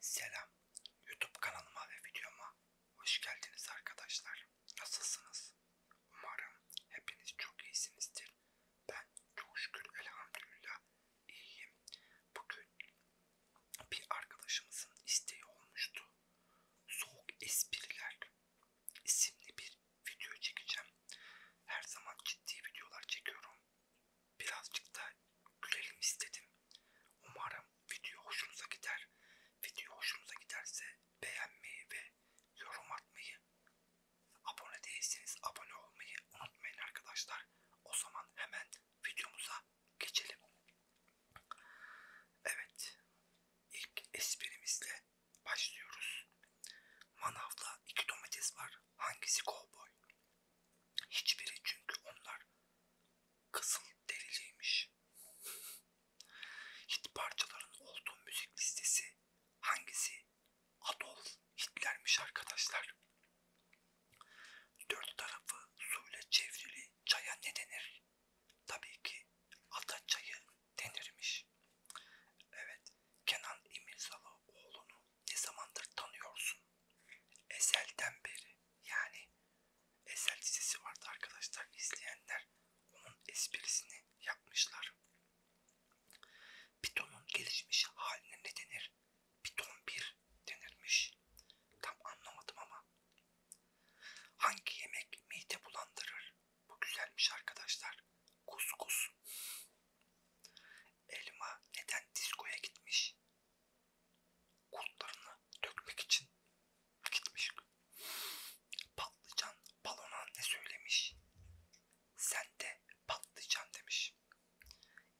Selam. YouTube kanalıma ve videoma hoş geldiniz arkadaşlar. Nasılsınız? Umarım hepiniz çok iyisinizdir. Ben çok şükür elhamdülillah iyiyim. Bugün bir arkadaşımızın isteği olmuştu. Soğuk espriler isimli bir video çekeceğim. Her zaman ciddi videolar çekiyorum. Birazcık da gülelim istedim. Umarım video hoşunuza gider. Video hoşunuza giderse beğenmeyi ve yorum atmayı, abone değilseniz abone olmayı unutmayın arkadaşlar. O zaman hemen videomuza geçelim. Evet, ilk esprimizle başlıyoruz. Manavda iki domates var. Hangisi kovboy? Hiçbiri çünkü onlar kızıl deriliymiş. Hit parçaların olduğu müzik listesi hangisi? Adolf Hitler'miş arkadaşlar. Dört tarafı suyla çevrili çaya ne denir? Tabii ki ada çayı denirmiş. Evet, Kenan İmirzalıoğlu'nu ne zamandır tanıyorsun? Ezelden beri yani Ezel dizisi vardı arkadaşlar izleyenler onun esprisini yapmışlar. Python'un gelişmiş haline ne denir? Python 1 denirmiş. Tam anlamadım ama. Hangi yemek mide bulandırır? Bu güzelmiş arkadaşlar. Kuskus elma neden diskoya gitmiş? Kurtlarını dökmek için gitmiş. Patlıcan balona ne söylemiş? Sen de patlıcan demiş.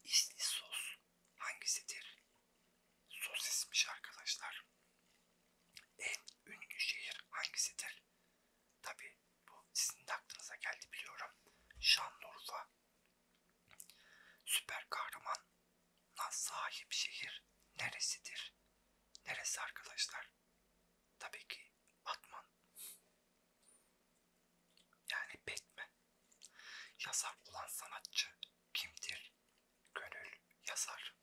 İsli sos hangisidir? Sosismiş arkadaşlar. En ünlü şehir hangisidir? Tabi bu sizin de aklınıza geldi biliyorum. Şanlıurfa süper kahraman na sahip şehir neresidir? Neresi arkadaşlar? Tabii ki Batman. Yani Batman. Yazar olan sanatçı kimdir? Gönül yazar.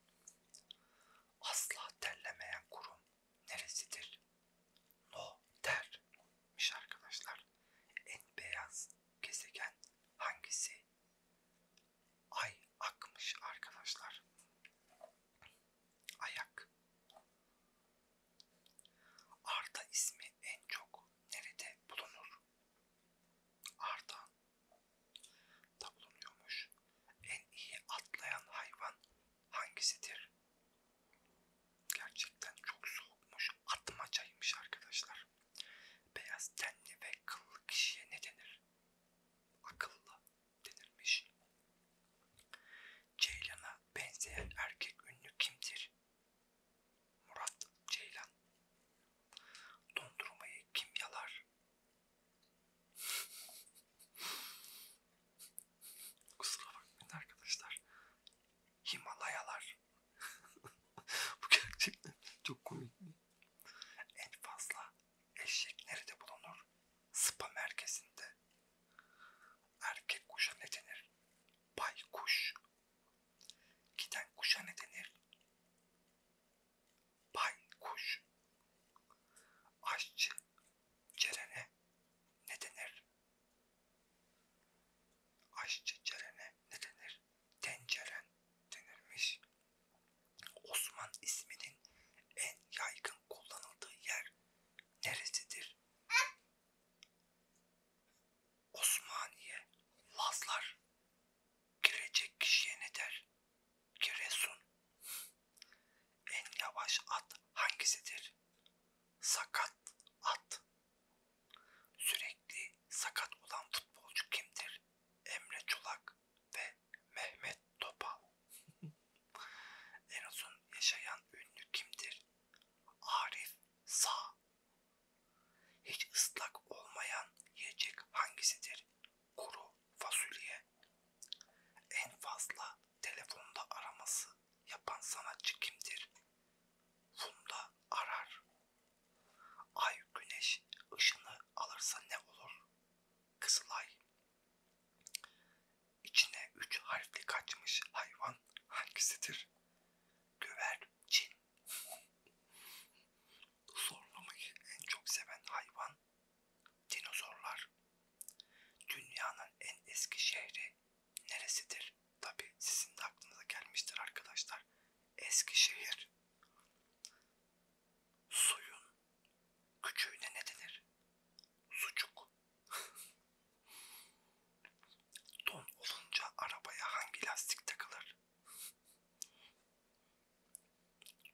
Asla terlemeyen kurum neresidir? No dermiş arkadaşlar. En beyaz gezegen hangisi? Ay akmış arkadaşlar. Ayak. Arda ismi en çok nerede bulunur? Arda da bulunuyormuş. En iyi atlayan hayvan hangisidir? Gerçekten çok soğukmuş, atmacaymış arkadaşlar. Beyaz tenli ve kıllı kişiye ne denir? Akıllı denirmiş. Ceylan'a benzeyen erkek ünlü kimdir? Murat Ceylan. Dondurmayı kim yalar? Kusura bakmayın arkadaşlar. Himalayalar. Bu gerçekten çok komik. En fazla eşek nerede bulunur? Spa merkezinde. Erkek kuşa ne denir? Baykuş. Giden kuşa ne denir? Baykuş. Aşçı Cerene ne denir? Aşçı cerene ne denir? Tenceren denirmiş. Osman isminin en yaygın kullanıldığı yer neresidir? Osmaniye, Lazlar girecek kişiye ne der? Giresun. En yavaş at hangisidir? Sakat at. Sürekli sakat olan futbolcu kimdir? Emre Çolak ve Mehmet Topal. en uzun yaşayan ünlü kimdir? Arif Sağ. Hiç ıslak olmayan yiyecek hangisidir? Kuru fasulye. En fazla telefonda araması yapan sanatçı kimdir? Funda arar. Ay güneş ışını alırsa ne olur? Kızılay. İçine üç harfli kaçmış hayvan hangisidir? Güvercin. Zorlamayı en çok seven hayvan Dinozorlar. Dünyanın en eski şehri neresidir? Tabi sizin de aklınıza gelmiştir arkadaşlar. Eskişehir. Suyun küçüğüne ne denir? Sucuk. Don olunca arabaya hangi lastik takılır?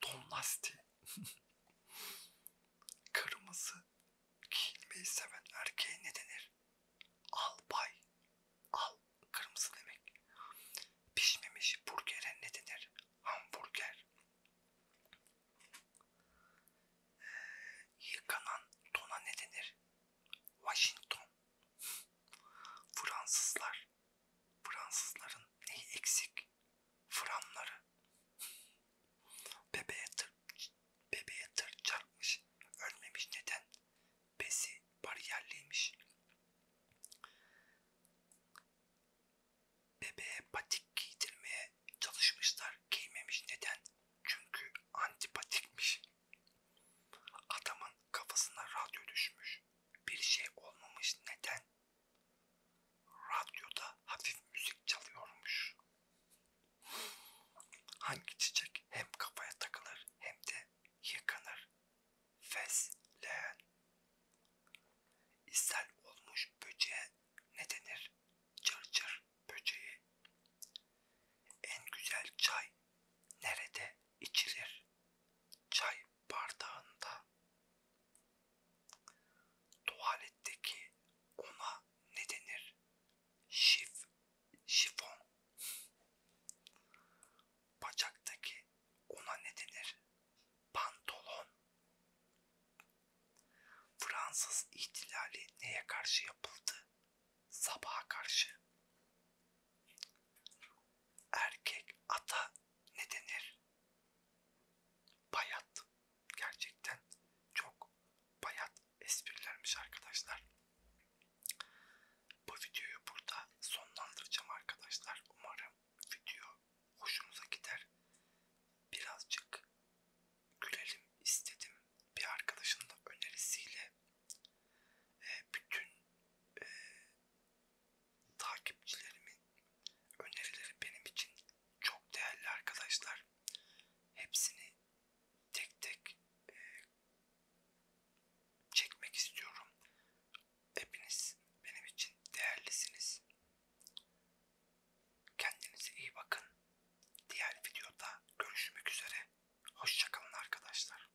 Ton lastiği. Kırmızı giyinmeyi seven erkeğe ne denir? Albay. Al kırmızı demek. Pişmemiş burgere ne denir? Hamburger. Ee, yıkanan tona ne denir? Washington. Fransızlar Fransızların neyi eksik? Franları. Bebeğe tır, bebeğe tır çarpmış. Ölmemiş neden? Besi bariyerliymiş. Bebeğe patik giydirmeye çalışmışlar. Giymemiş neden? Çünkü antipatikmiş. Adamın kafasına radyo düşmüş. Bir şey olmamış neden? Radyoda hafif müzik çalıyormuş. Hangi çiçek hem kafaya takılır hem de yıkanır? Fesleğen. İshal olmuş böceğe ne denir? Cırcır cır böceği. En güzel çay nerede içilir? Çay bardağında. Tuvaletteki ona ne denir? Şif, şifon. Bacaktaki ona ne denir? Pantolon. Fransız ihtilali neye karşı yapıldı? Sabaha karşı erkek ata ne denir? Bayat. Gerçekten çok bayat esprilermiş arkadaşlar. Bu videoyu burada sonlandıracağım arkadaşlar. Umarım video hoşunuza gider. Birazcık gülelim istedim. Bir arkadaşın da önerisiyle bütün Takipçilerimin önerileri benim için çok değerli arkadaşlar. Hepsini tek tek e, çekmek istiyorum. Hepiniz benim için değerlisiniz. Kendinize iyi bakın. Diğer videoda görüşmek üzere. Hoşçakalın arkadaşlar.